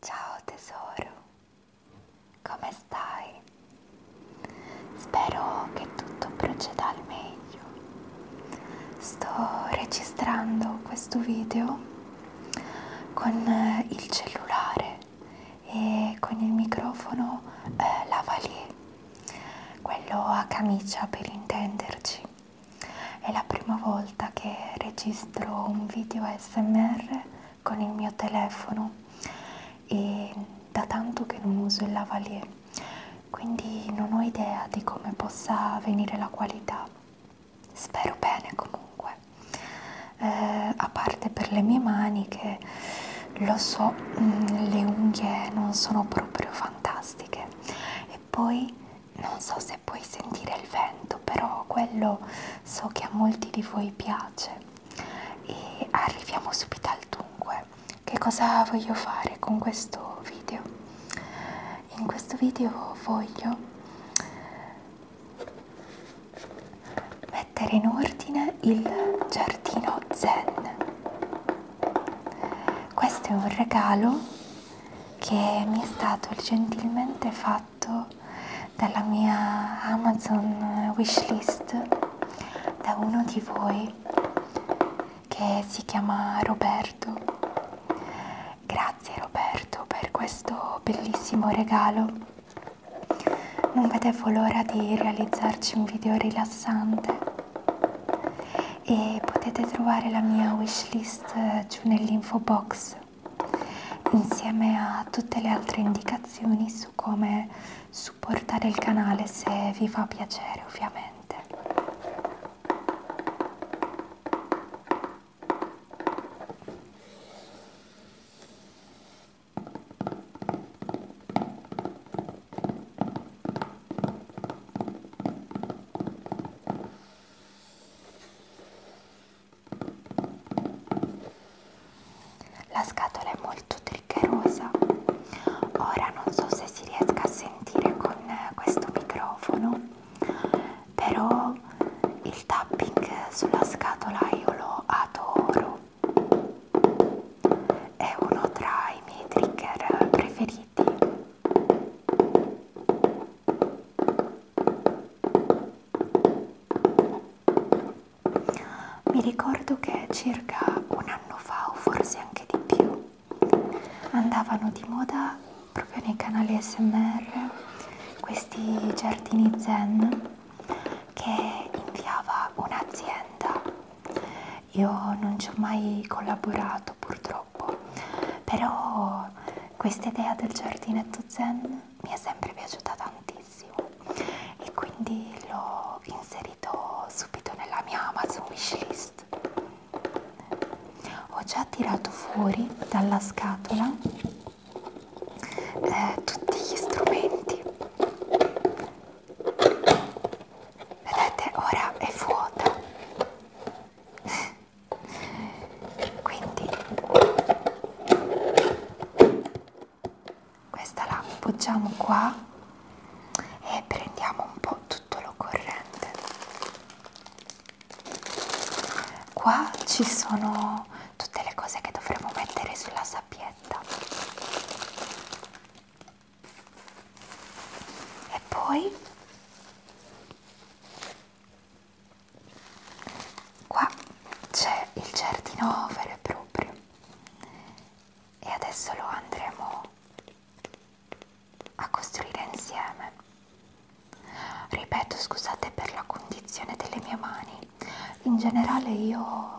Ciao tesoro, come stai? Spero che tutto proceda al meglio. Sto registrando questo video con eh, il cellulare e con il microfono eh, lavalier, quello a camicia per intenderci. È la prima volta che registro un video ASMR con il mio telefono e da tanto che non uso il lavalier, quindi non ho idea di come possa venire la qualità. Spero bene comunque, eh, a parte per le mie mani che lo so, mm, le unghie non sono proprio fantastiche e poi non so se puoi sentire il vento, però quello so che a molti di voi piace. E arriviamo subito al dunque. Che cosa voglio fare con questo video? In questo video voglio mettere in ordine il giardino zen. Questo è un regalo che mi è stato gentilmente fatto dalla mia Amazon wishlist da uno di voi che si chiama Roberto. Grazie Roberto per questo bellissimo regalo. Non vedevo l'ora di realizzarci un video rilassante e potete trovare la mia wishlist playlist eh, giù nell'info box insieme a tutte le altre indicazioni su come supportare il canale se vi fa piacere ovviamente. La scatola è molto triggerosa, ora non so se si riesca a sentire con eh, questo microfono, però il tapping sulla scatola io lo adoro, è uno tra i miei trigger preferiti. Mi ricordo che circa un anno fa o forse anche di più andavano di moda proprio nei canali SMR questi giardini zen che inviava un'azienda. Io non ci ho mai collaborato purtroppo, però questa idea del giardinetto zen mi è sempre piaciuta tantissimo e quindi l'ho inserito subito nella mia Amazon wishlist. Ho già tirato fuori dalla scatola eh, tutti gli strumenti. Vedete, ora è vuota quindi questa la appoggiamo qua e prendiamo un po' tutto l'occorrente qua ci sono tutte le cose che dovremo mettere sulla sappietta e poi Qua c'è il giardino vero e proprio e adesso lo andremo a costruire insieme. Ripeto, scusate per la condizione delle mie mani. In generale io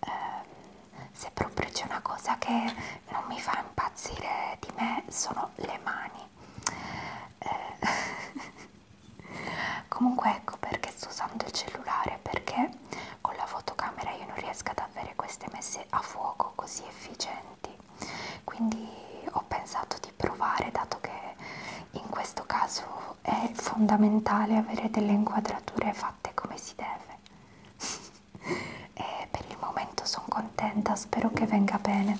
ehm, se proprio c'è una cosa che non mi fa impazzire di me sono le mani eh. comunque ecco perché sto usando il cellulare perché con la fotocamera io non riesco ad avere queste messe a fuoco così efficienti quindi ho pensato di provare dato che in questo caso è fondamentale avere delle inquadrature fatte come si deve e per il momento sono contenta, spero che venga bene.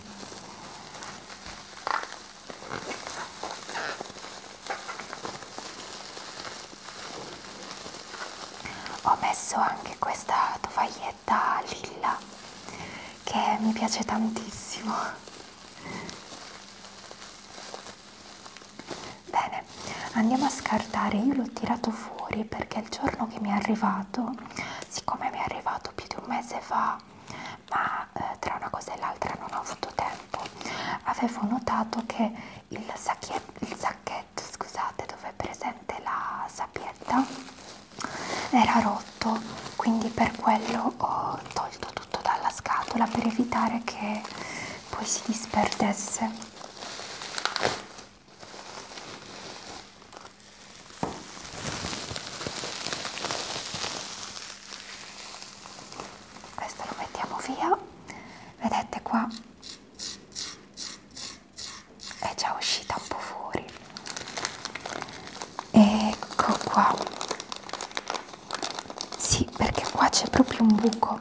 Ho messo anche questa tovaglietta lilla che mi piace tantissimo. Bene, andiamo a scartare, io l'ho tirato fuori perché il giorno che mi è arrivato siccome mi è arrivato più di un mese fa ma eh, tra una cosa e l'altra non ho avuto tempo avevo notato che il, il sacchetto scusate dove è presente la sapietta era rotto quindi per quello ho tolto tutto dalla scatola per evitare che poi si disperdesse questo lo mettiamo via, vedete qua è già uscita un po' fuori. Ecco qua. Sì, perché qua c'è proprio un buco.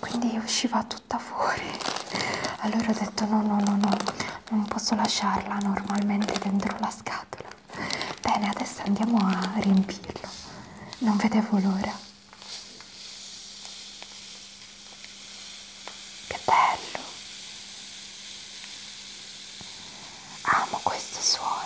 Quindi usciva tutta fuori allora ho detto no no no no non posso lasciarla normalmente dentro la scatola bene adesso andiamo a riempirlo non vedevo l'ora che bello amo questo suono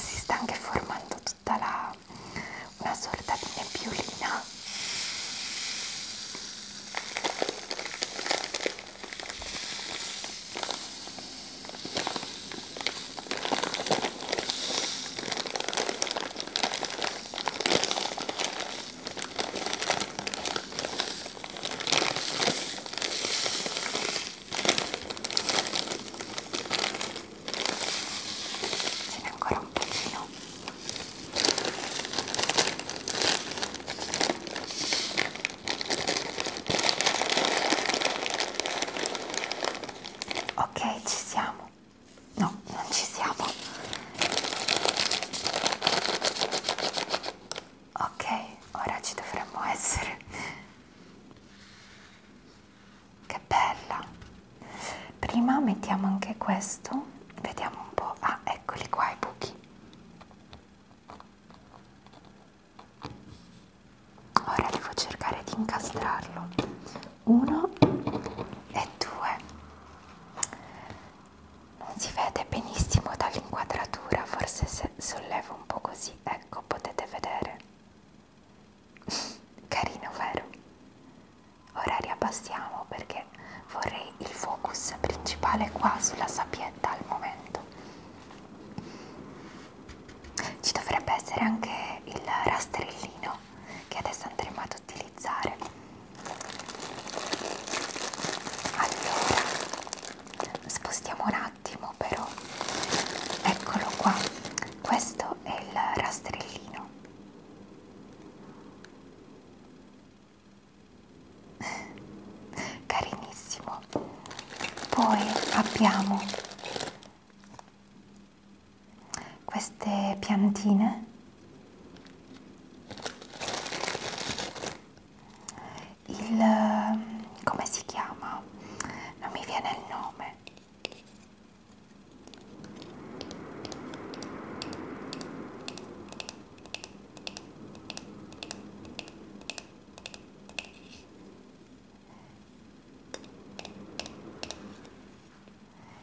si sta anche formando tutta la una sorta di nebbiolina Ce n'è ancora un pochino. Ok, ci siamo. No, non ci siamo. Ok, ora ci dovremmo essere. Che bella. Prima mettiamo anche questo. Vediamo un po'. Ah, eccoli qua i buchi ora devo cercare di incastrarlo uno e due non si vede benissimo dall'inquadratura forse se sollevo un po' così ecco potete vedere carino vero ora riabbassiamo perché vorrei il focus principale qua sulla sappietta al momento ci dovrebbe essere anche il rastrellino che adesso andremo ad utilizzare. Allora, spostiamo un attimo però. Eccolo qua. Questo è il rastrellino. Carinissimo. Poi abbiamo queste piantine il eh, come si chiama non mi viene il nome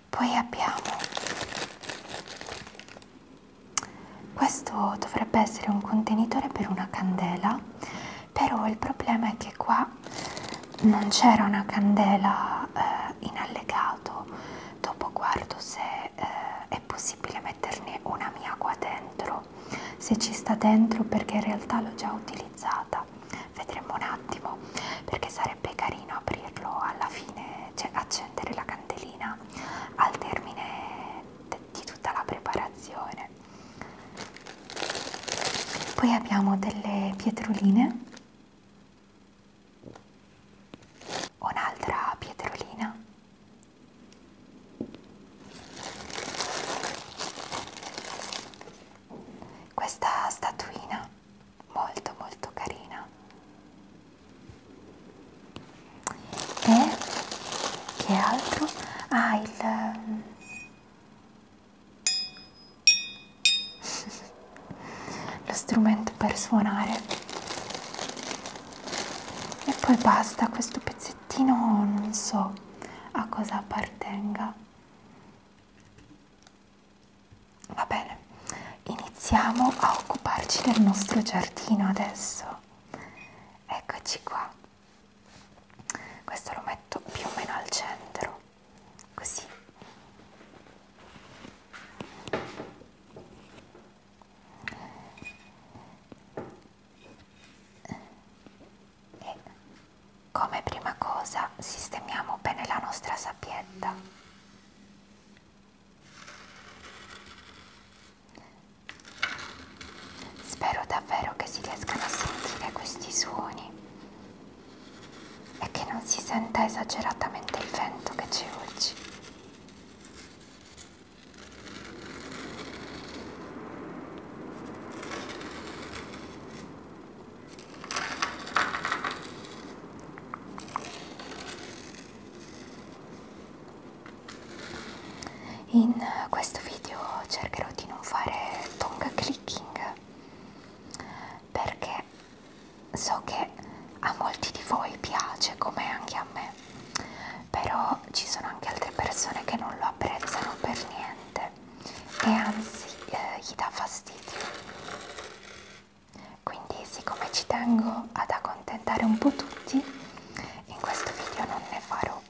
poi abbiamo, questo dovrebbe essere un contenitore per una candela, però il problema è che qua non c'era una candela eh, in allegato, dopo guardo se eh, è possibile metterne una mia qua dentro, se ci sta dentro perché in realtà l'ho già utilizzata però vedremo un attimo perché sarebbe carino aprirlo alla fine, cioè accendere la candelina al termine di tutta la preparazione. Poi abbiamo delle pietroline, un'altra pietrolina questa statuina molto molto carina e che altro ha ah, il ehm, lo strumento per suonare e poi basta questo pezzettino non so a cosa appartenga Va bene, iniziamo a occuparci del nostro giardino adesso. Eccoci qua. Questo lo metto più o meno al centro, così. E come prima cosa sistemiamo bene la nostra sappietta. Spero davvero che si riescano a sentire questi suoni e che non si senta esageratamente il vento che ci urge. In questo video cercherò di non fare tongue clicking perché so che a molti di voi piace come anche a me, però ci sono anche altre persone che non lo apprezzano per niente e anzi eh, gli dà fastidio. Quindi siccome ci tengo ad accontentare un po' tutti, in questo video non ne farò.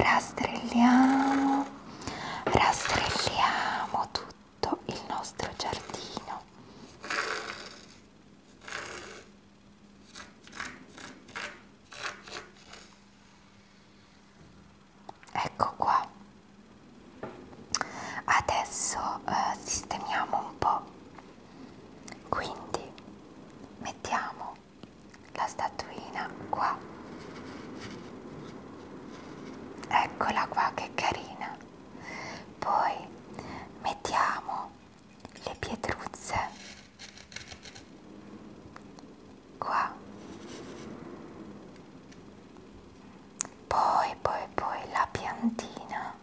Rastrelliamo, rastrelliamo tutto il nostro giardino. Ecco qua. Adesso eh, sistemiamo un po' Quindi mettiamo la statuina qua. Eccola qua che carina. Poi mettiamo le pietruzze qua. Poi, poi, poi la piantina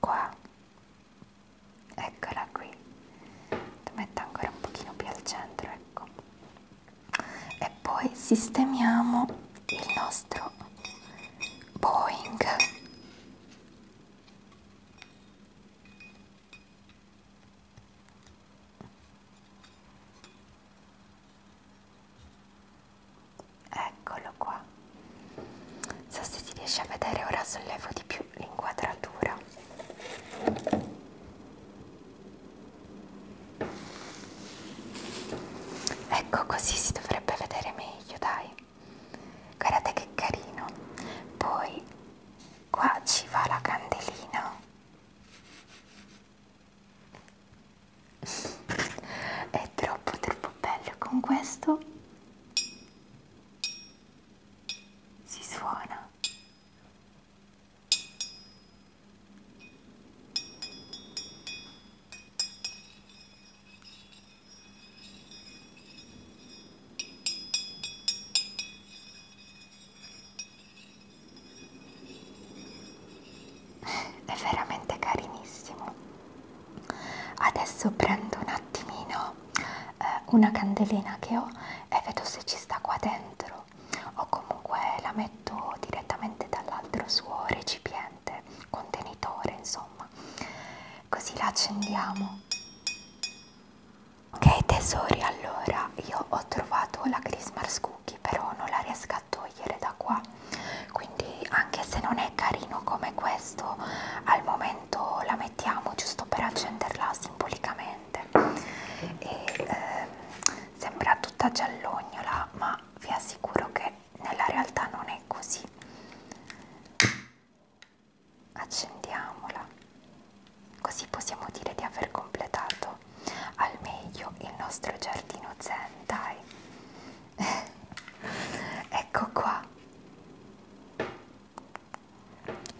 qua eccola qui ti metto ancora un pochino più al centro ecco e poi sistemiamo il nostro Boeing eccolo qua so se si riesce a vedere ora sollevo di più l'inquadratura ecco così si dovrebbe vedere meglio dai guardate che carino poi qua ci va la candelina è troppo troppo bello con questo si suona è veramente carinissimo adesso prendo un attimino eh, una candelina che ho e vedo se ci sta qua dentro o comunque la metto direttamente dall'altro suo recipiente contenitore insomma così la accendiamo ok tesori allora io ho trovato la Christmas cookie però non la riesco da togliere da qua quindi anche se non è carino come questo al momento la mettiamo giusto per accenderla simbolicamente e eh, sembra tutta giallognola ma vi assicuro che nella realtà non è così accendiamola così possiamo dire di aver completato al meglio il nostro giardino zen dai ecco qua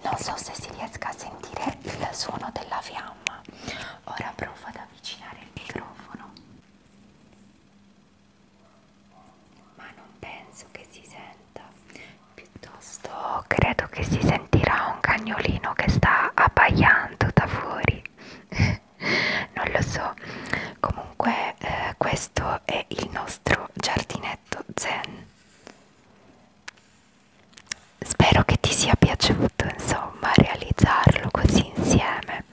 non so se si riesca a sentire il suono della fiamma ora provo ad avvicinare il microfono ma non penso che si senta piuttosto credo che si sentirà un cagnolino che sta abbaiando da fuori non lo so comunque eh, questo è il nostro giardinetto zen spero che ti sia piaciuto insomma realizzarlo così insieme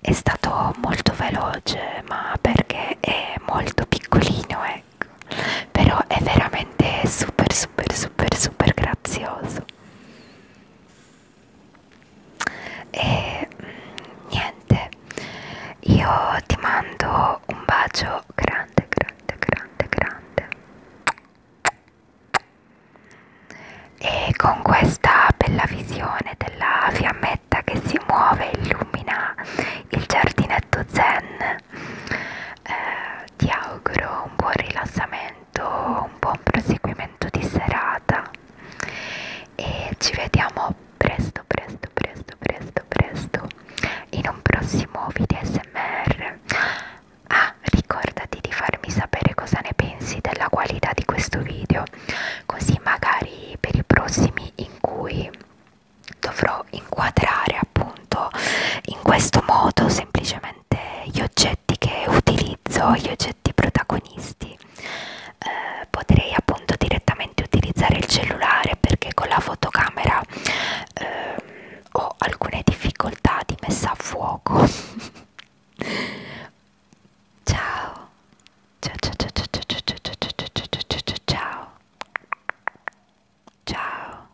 è stato molto veloce ma perché è molto piccolino ecco però è veramente super super super super grazioso e niente io ti mando un bacio grande grande grande grande e con questa bella visione della fiammetta che si muove e illumina il giardinetto zen eh, ti auguro un buon rilassamento un buon proseguimento di serata puntata e ci vediamo presto presto presto presto presto in un prossimo video smr ah ricordati di farmi sapere cosa ne pensi della qualità di questo video così magari per i prossimi in cui dovrò inquadrare appunto in questo modo semplicemente sicuramente gli oggetti che utilizzo, gli oggetti protagonisti. Eh, potrei appunto direttamente utilizzare il cellulare perché con la fotocamera eh, ho alcune difficoltà di messa a fuoco. ciao. Ciao, ciao, ciao, ciao, ciao, ciao, ciao, ciao, ciao, ciao. Ciao.